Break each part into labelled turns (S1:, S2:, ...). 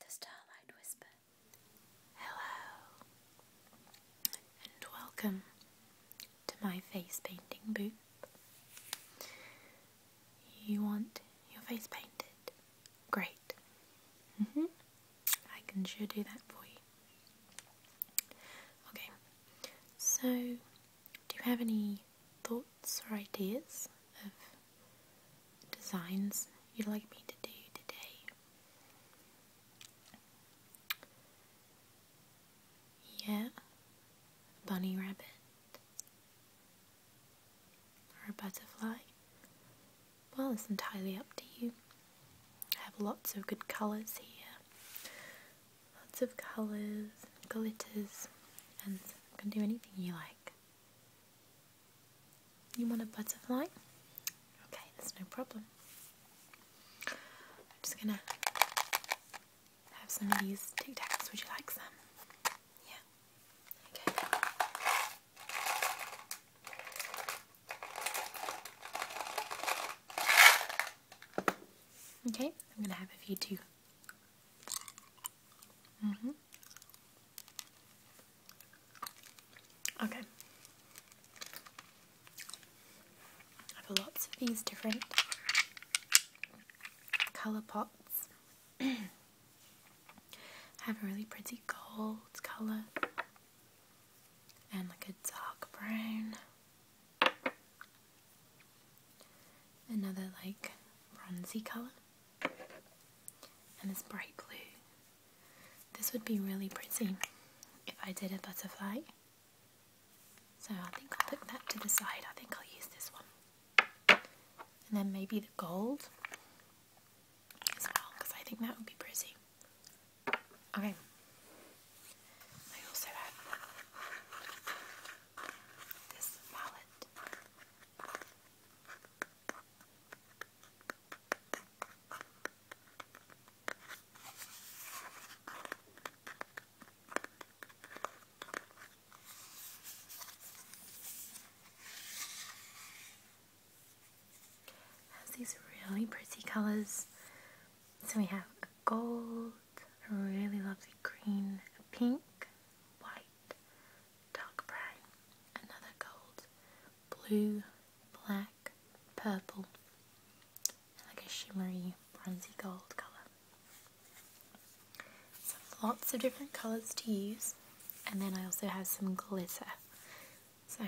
S1: The starlight whispered, Hello, and welcome to my face painting booth. You want your face painted? Great. hmm I can sure do that for you. Okay, so do you have any thoughts thoughts or ideas of designs you'd like me to do today. Yeah, bunny rabbit or butterfly. Well, it's entirely up to you. I have lots of good colours here. Lots of colours, glitters and you can do anything you like. You want a butterfly? Okay, that's no problem. I'm just gonna have some of these Tic Tacs. Would you like some? Yeah. Okay. Okay, I'm gonna have a few too. Mm -hmm. Okay. I have lots of these different colour pots. I have a really pretty gold colour and like a dark brown. Another like bronzy colour and this bright blue. This would be really pretty if I did a butterfly. So I think I'll put that to the side. I think I'll use this one. And then maybe the gold as well, because I think that would be pretty. Okay. I also have this palette. Has these really pretty colors. So we have a gold, a really lovely green, a pink, white, dark brown, another gold, blue, black, purple, like a shimmery bronzy gold colour. So lots of different colours to use and then I also have some glitter. So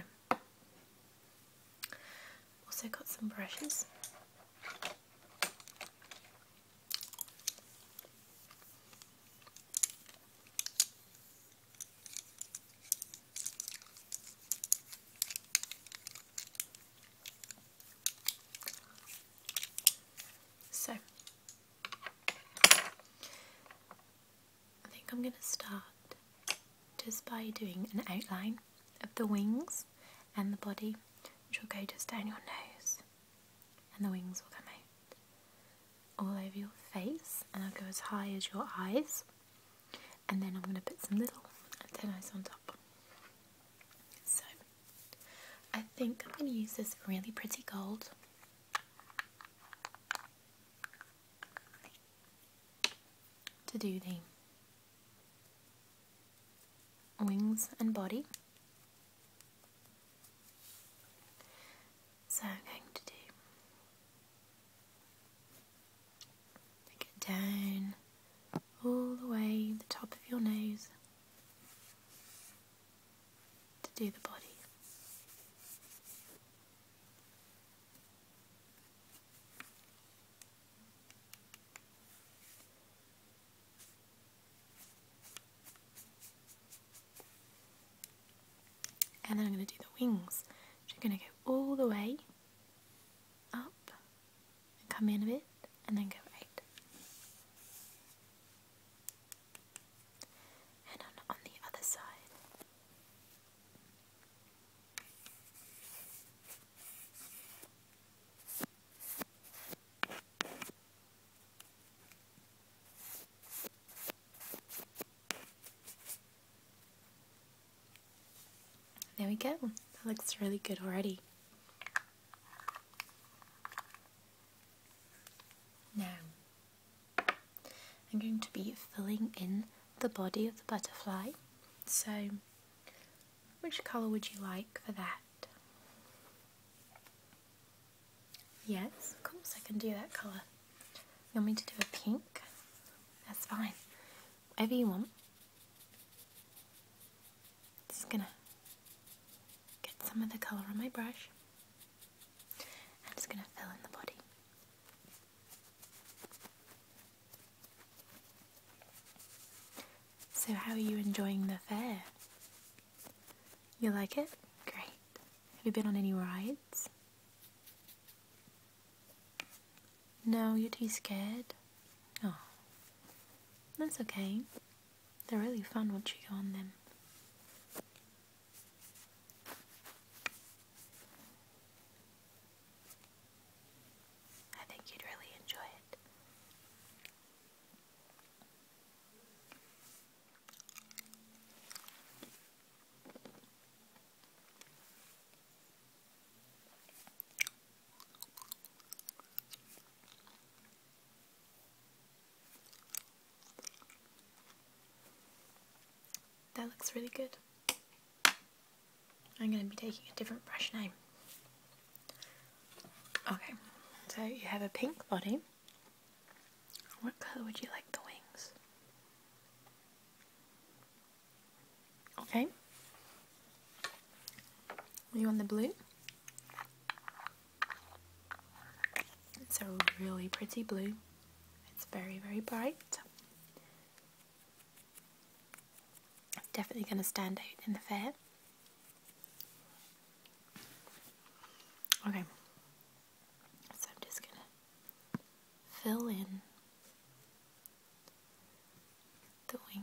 S1: also got some brushes. So, I think I'm going to start just by doing an outline of the wings and the body, which will go just down your nose and the wings will come out all over your face and I'll go as high as your eyes and then I'm going to put some little antennas on top. So I think I'm going to use this really pretty gold to do the wings and body so I'm going to do take it down all the way the top of your nose to do the body. And then I'm going to do the wings. So you're going to go all the way up and come in a bit and then go right. And on the other side. There we go. That looks really good already. Now, I'm going to be filling in the body of the butterfly. So, which colour would you like for that? Yes, of course I can do that colour. You want me to do a pink? That's fine. Whatever you want. Just gonna get some of the colour on my brush. I'm just gonna fill in the body. So how are you enjoying the fair? You like it? Great. Have you been on any rides? No, you're too scared? Oh. That's okay. They're really fun once you go on them. I think you'd really enjoy it. That looks really good. I'm going to be taking a different brush name. Okay, so you have a pink body. What color would you like the wings? Okay. You want the blue? It's a really pretty blue. It's very, very bright. Definitely going to stand out in the fair. Okay. So I'm just going to fill in the wings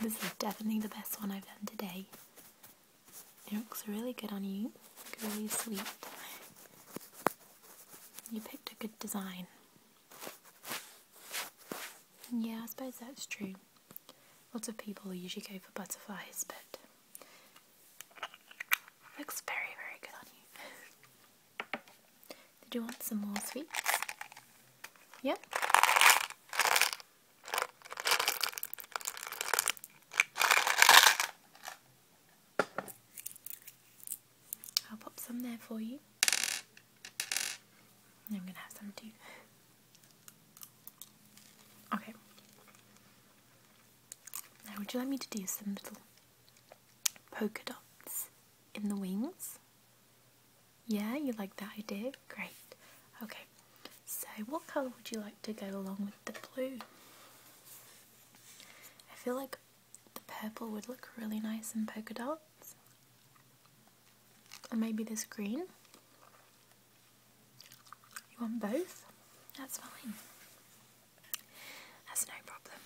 S1: This is definitely the best one I've done today. It looks really good on you. Really sweet. You picked a good design. Yeah, I suppose that's true. Lots of people usually go for butterflies, but looks very, very good on you. Did you want some more sweets? Yeah? I'll pop some there for you. I'm gonna have some too. Okay. Now, would you like me to do some little polka dots in the wings? Yeah, you like that idea? Great. Okay, so what colour would you like to go along with the blue? I feel like the purple would look really nice in polka dots. Or maybe this green. You want both? That's fine. That's no problem.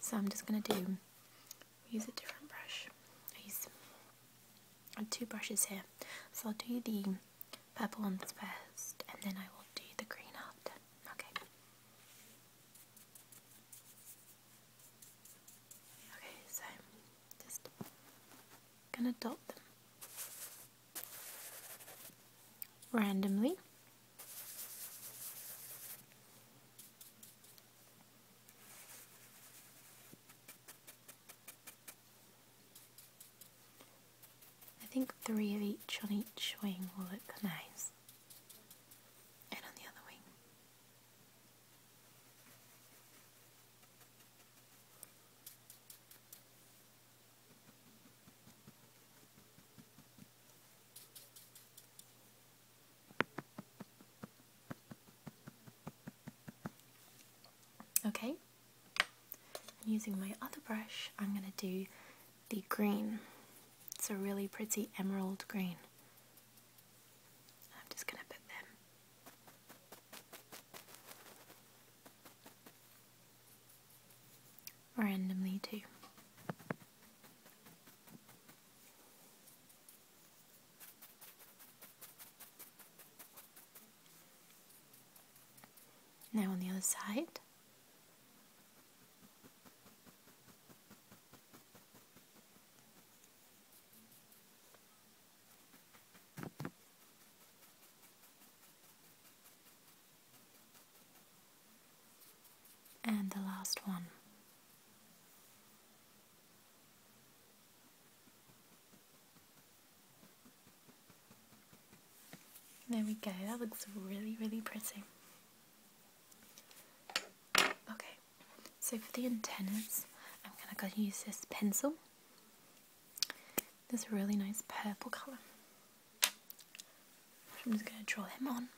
S1: So I'm just going to do use a different brush. I use two brushes here. So I'll do the purple ones first and then I will do the green after. Okay. Okay, so just gonna dot them randomly. I think three of each on each wing will look nice, and on the other wing. Okay, and using my other brush, I'm going to do the green. It's a really pretty emerald green. I'm just going to put them randomly too. Now on the other side. And the last one. There we go, that looks really, really pretty. Okay, so for the antennas, I'm gonna go use this pencil. This really nice purple colour. I'm just gonna draw them on.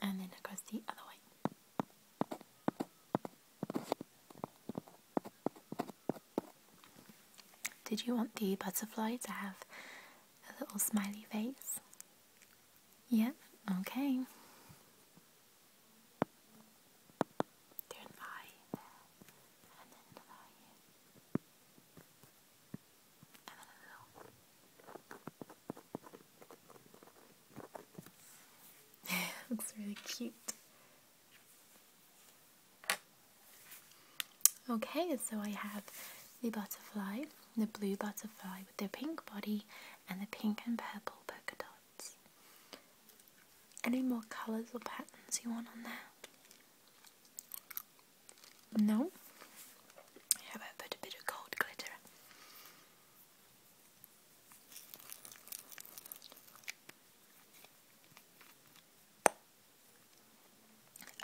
S1: And then across the other way. Did you want the butterfly to have a little smiley face? Yep, okay. Do an eye there, and then another eye here. Looks really cute. Okay, so I have the butterfly, the blue butterfly with the pink body and the pink and purple polka dots. Any more colours or patterns you want on that? No? How about I put a bit of gold glitter?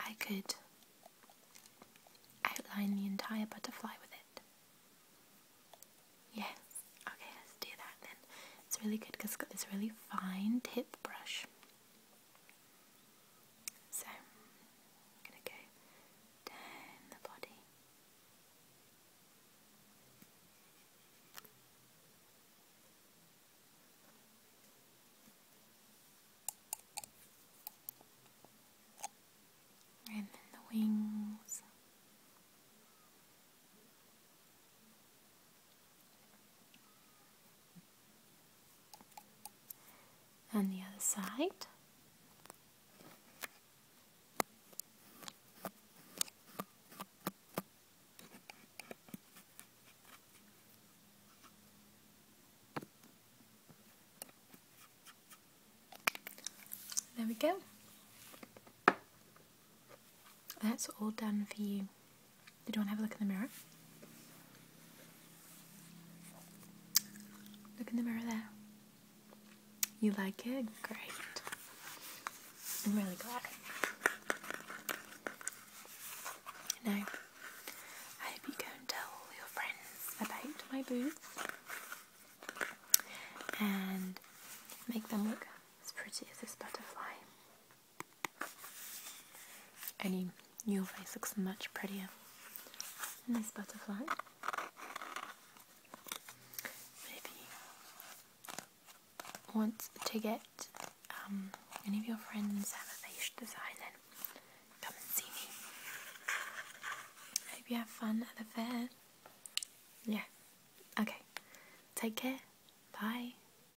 S1: I could outline the entire butterfly with it. Yes, okay, let's do that then. It's really good because it's got this really fine tip brush. So I'm going to go down the body. And then the wings and the other side. There we go. That's all done for you. Did You want to have a look in the mirror. Look in the mirror there. You like it? Great. I'm really glad. You know, I hope you go and tell all your friends about my booth and make them look as pretty as this butterfly. Any, your face looks much prettier than this butterfly. Maybe want to get um, any of your friends have a face design then come and see me. Hope you have fun at the fair. Yeah. Okay. Take care. Bye.